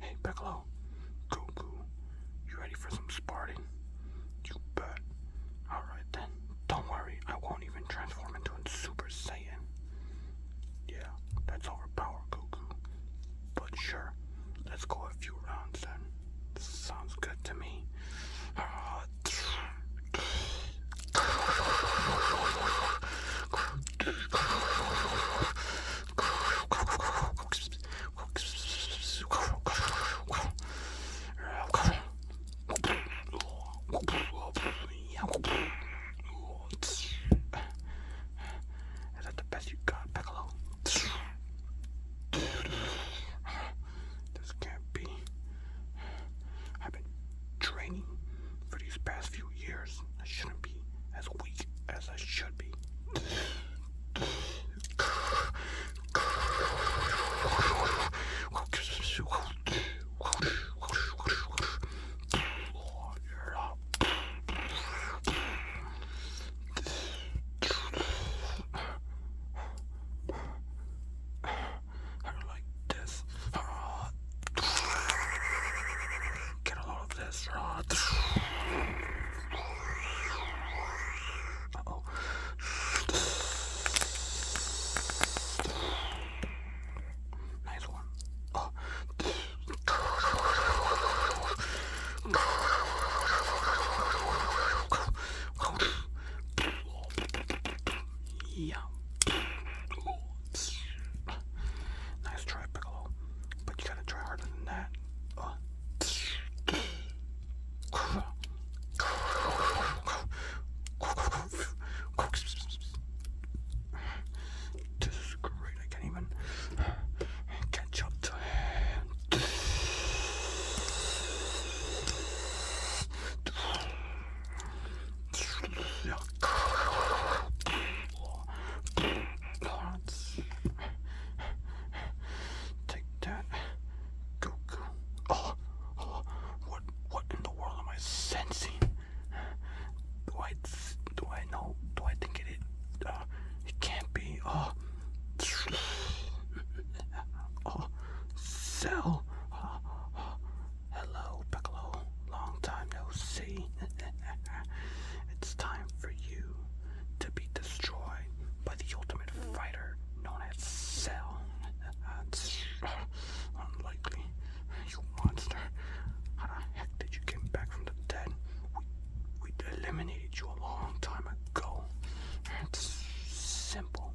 Hey, Piccolo, Goku, you ready for some sparring? You bet. Alright then, don't worry, I won't even transform into a Super Saiyan. Yeah, that's overpowered, Goku. But sure, let's go a few rounds then. Sounds good to me. Is that the best you got, Piccolo? This can't be. I've been training for these past few years. I shouldn't be as weak as I should be. I don't like this. Get a lot of this. Uh oh. Nice one. Oh. Yeah. Nice try, Piccolo. But you gotta try harder than that. This is great. I can't even catch up Take that. Go, Oh, oh, what, what in the world am I sensing? Do I, do I know? Do I think it is? Uh, it can't be. oh. oh. Cell. Hello, Piccolo. Long time no see. it's time for you to be destroyed by the ultimate fighter known as Cell. That's unlikely. You monster. How the heck did you come back from the dead? We, we eliminated you a long time go. It's simple.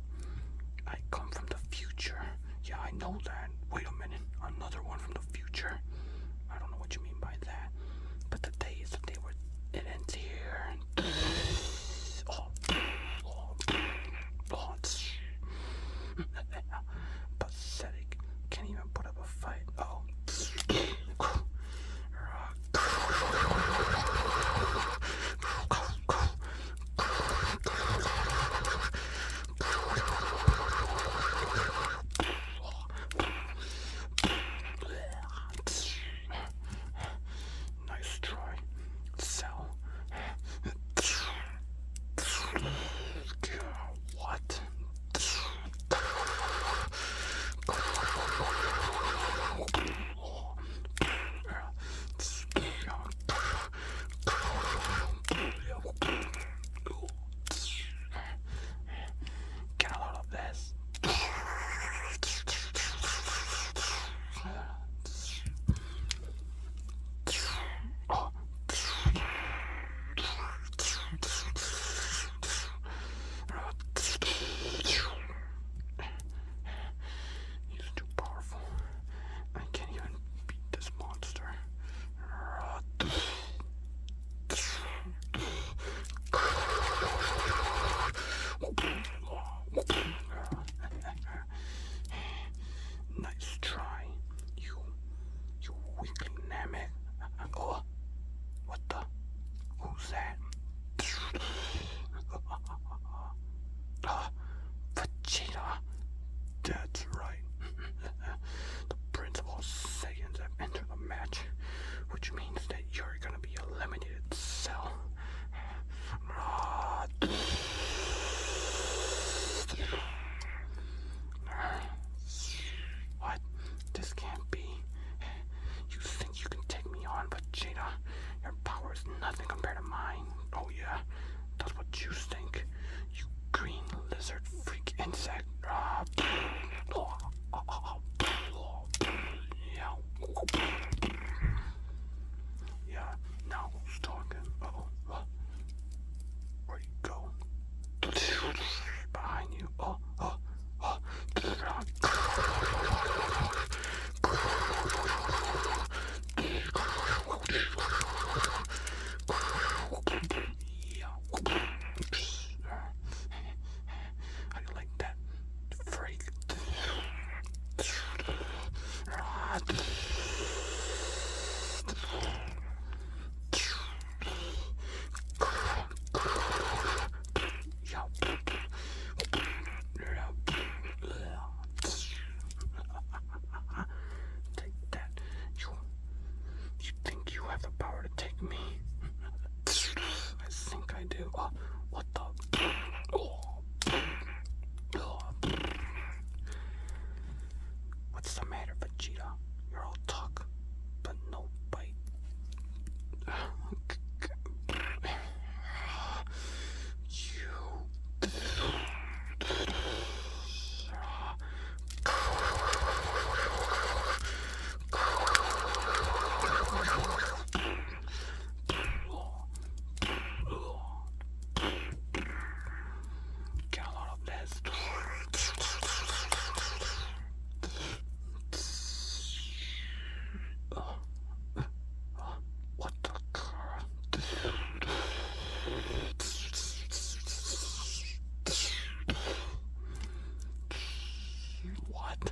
I come from the future. Yeah, I know that. Wait a minute. Another one from the future. I don't know what you mean by that. But the day is the day where it ends here. oh. Oh. Pathetic. Can't even put up a fight. Oh. Nice try. Sell. What? Get a load of this. Oh. He's too powerful. I can't even beat this monster. Nice try, you, you weakling nammit. Oh, what the? Who's that? Vegeta. That's right. the principal Saiyans have entered the match, which means that you're gonna be eliminated, so... what? This can't be. You you can take me on, but Vegeta. Your power is nothing compared to mine. Oh yeah, that's what you think. You green lizard freak insect. Ah, yeah. Yeah, now who's talking? oh. Where you go? Behind you. Oh, oh, oh. How do you like that? Freak. Take that. You, you think you have the power to take me? I think I do. Oh, what the? Oh. What's the matter, Vegeta? You're all talk, but no bite. Get a lot of this. Oh. Oh. What the crap? What?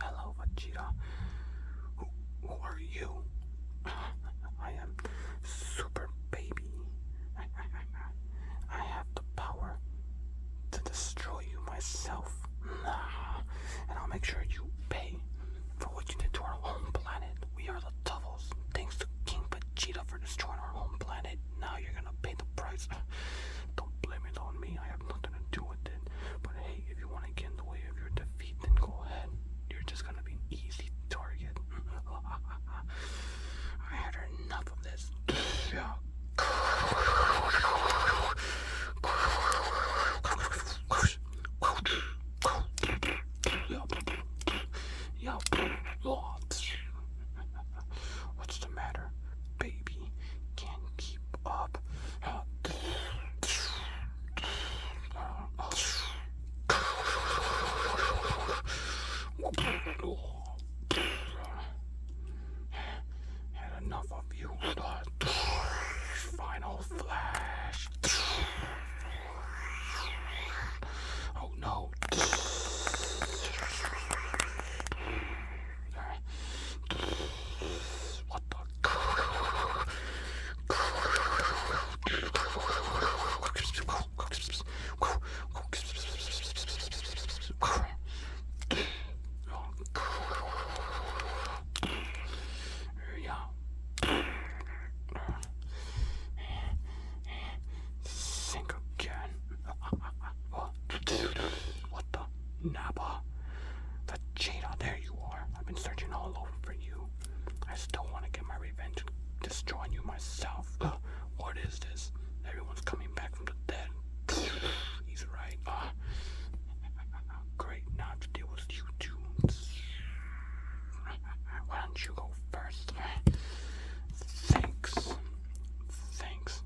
Hello, Vegeta. Who, are you? I am Super Baby. I have the power to destroy you myself. And I'll make sure you pay for what you did to our home planet. We are the devil. Thanks to King Vegeta for destroying our home planet. Now you're gonna pay the price. Don't blame it on me. I have nothing to do with it. But hey, if you want to get in the way of your defeat, then go ahead. You're just gonna be an easy target. I had enough of this. Yeah. What's the matter? Baby can't keep up. Had enough of you. Final flash. Oh no. What the? Yeah. Think again. What the? Napa? The cheetah, there you are. I've been searching all over for you. I still want to get my revenge and destroy you myself. what is this? Everyone's coming back from the dead. He's right. Uh, great, now to deal with you two. Why don't you go first? Thanks. Thanks.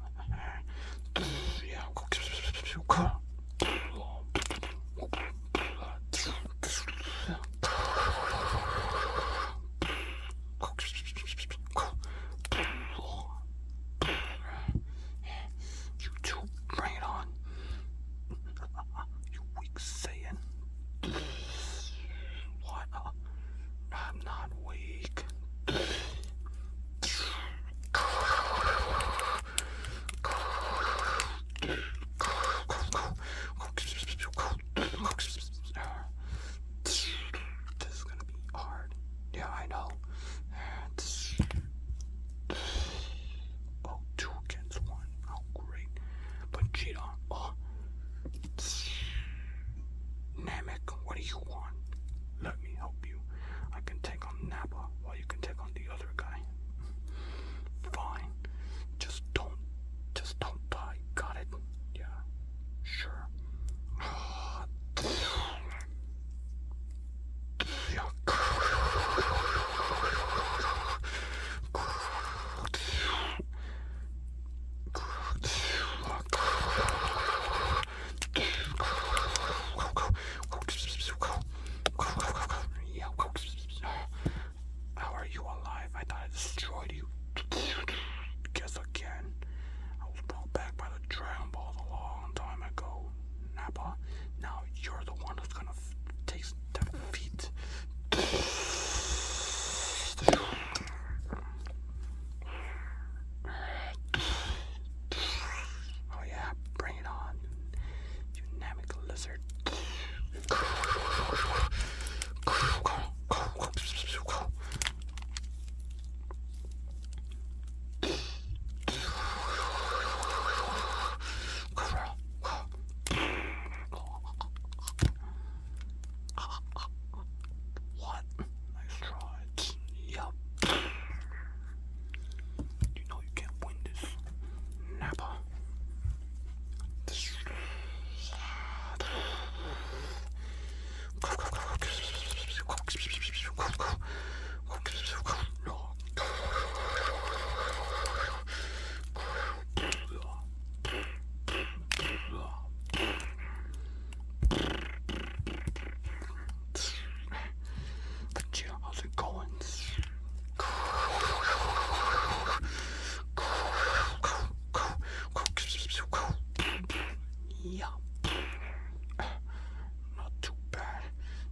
yeah. You two, bring it on. You weak Saiyan. What? A, I'm not weak. This is gonna be hard. Yeah, I know. Oh, two against one. Oh, great. But Cheetah, oh, Namek, what do you want? Let me help you. I can take on Nappa while you can take on the other guy. Fine. Just don't, just don't die. Got it? Yeah. Sure. How are you alive? I thought I destroyed you. Guess again. I was brought back by the Dragon Balls a long time ago. Nappa, now you're the one that's gonna take defeat Oh yeah, bring it on, dynamic lizard. What? Nice try. Yup. You know you can't win this. Napa how's it going? Yeah. Not too bad.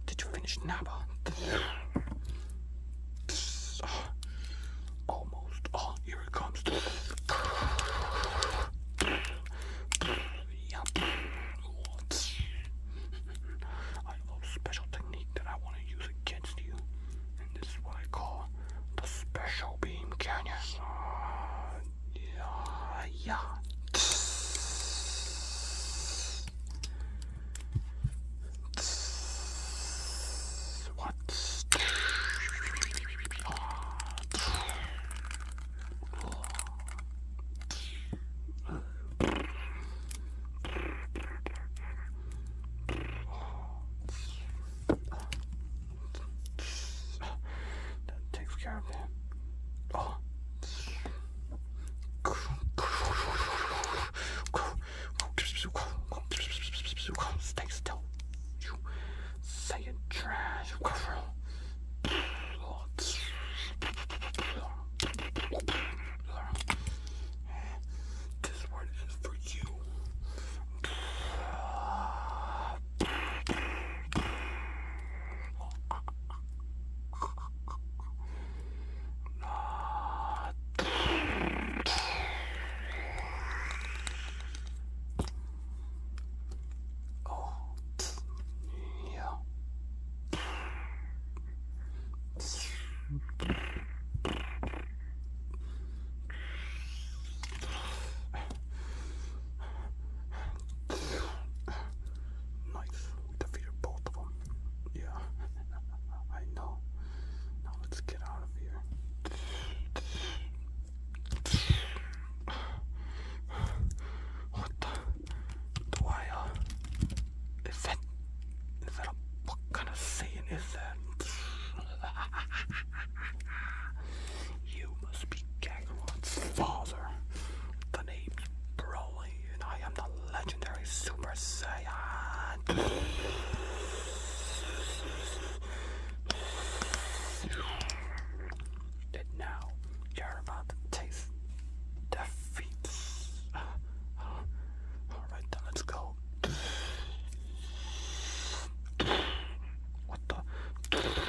Did you finish Napa? Almost all your here I have a special technique that I want to use against you, and this is what I call the special beam canyon. Uh, yeah, yeah. What's that takes care of them. Oh. Stay still. You saying trash. This word is for you. Oh, yeah. Nice. We defeated both of them. Yeah, I know. Now let's get out of here. What the? Do I, uh, Is that. Is that a. kind of saying is that? you must be Kakarot's father. The name's Broly, and I am the legendary Super Saiyan. And now you're about to taste defeat. Alright then, let's go. What the? Oh.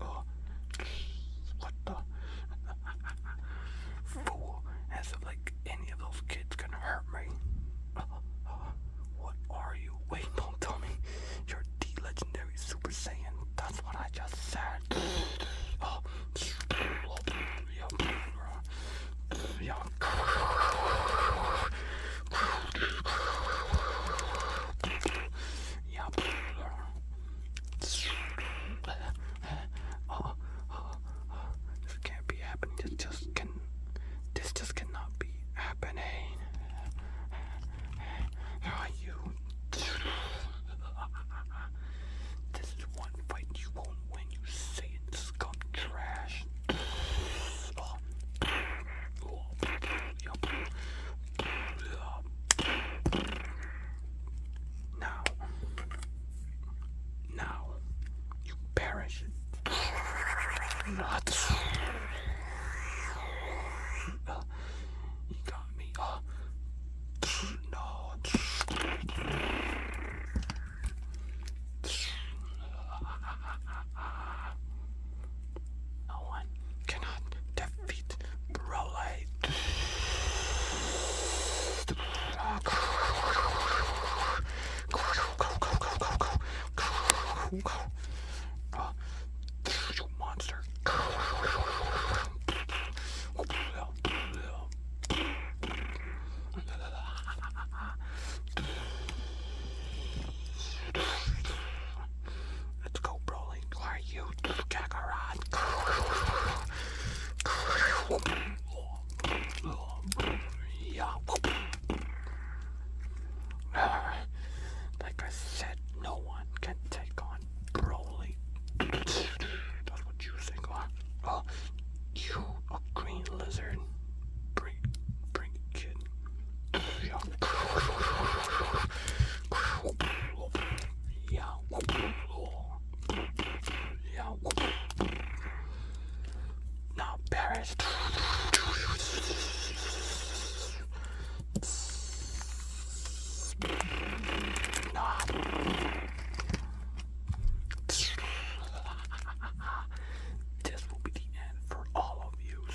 Oh, what the? Fool, as if like any of those kids can hurt me. what are you? Wait, don't You're the legendary Super Saiyan. That's what I just said. Oh, this can't be happening. This just can. This just cannot be happening. Where are you? This is one fight you won't win. You saying scum trash. Now, now, you perish. Not. you got me. No one cannot feet, bro. you monster. Let's go, Broly. Where are you? Like I said, no one can take on Broly. That's what you think, huh? Oh, you, a green lizard. Bring, bring it, yeah. Yeah. Now Paris. Now. This will be the end for all of you.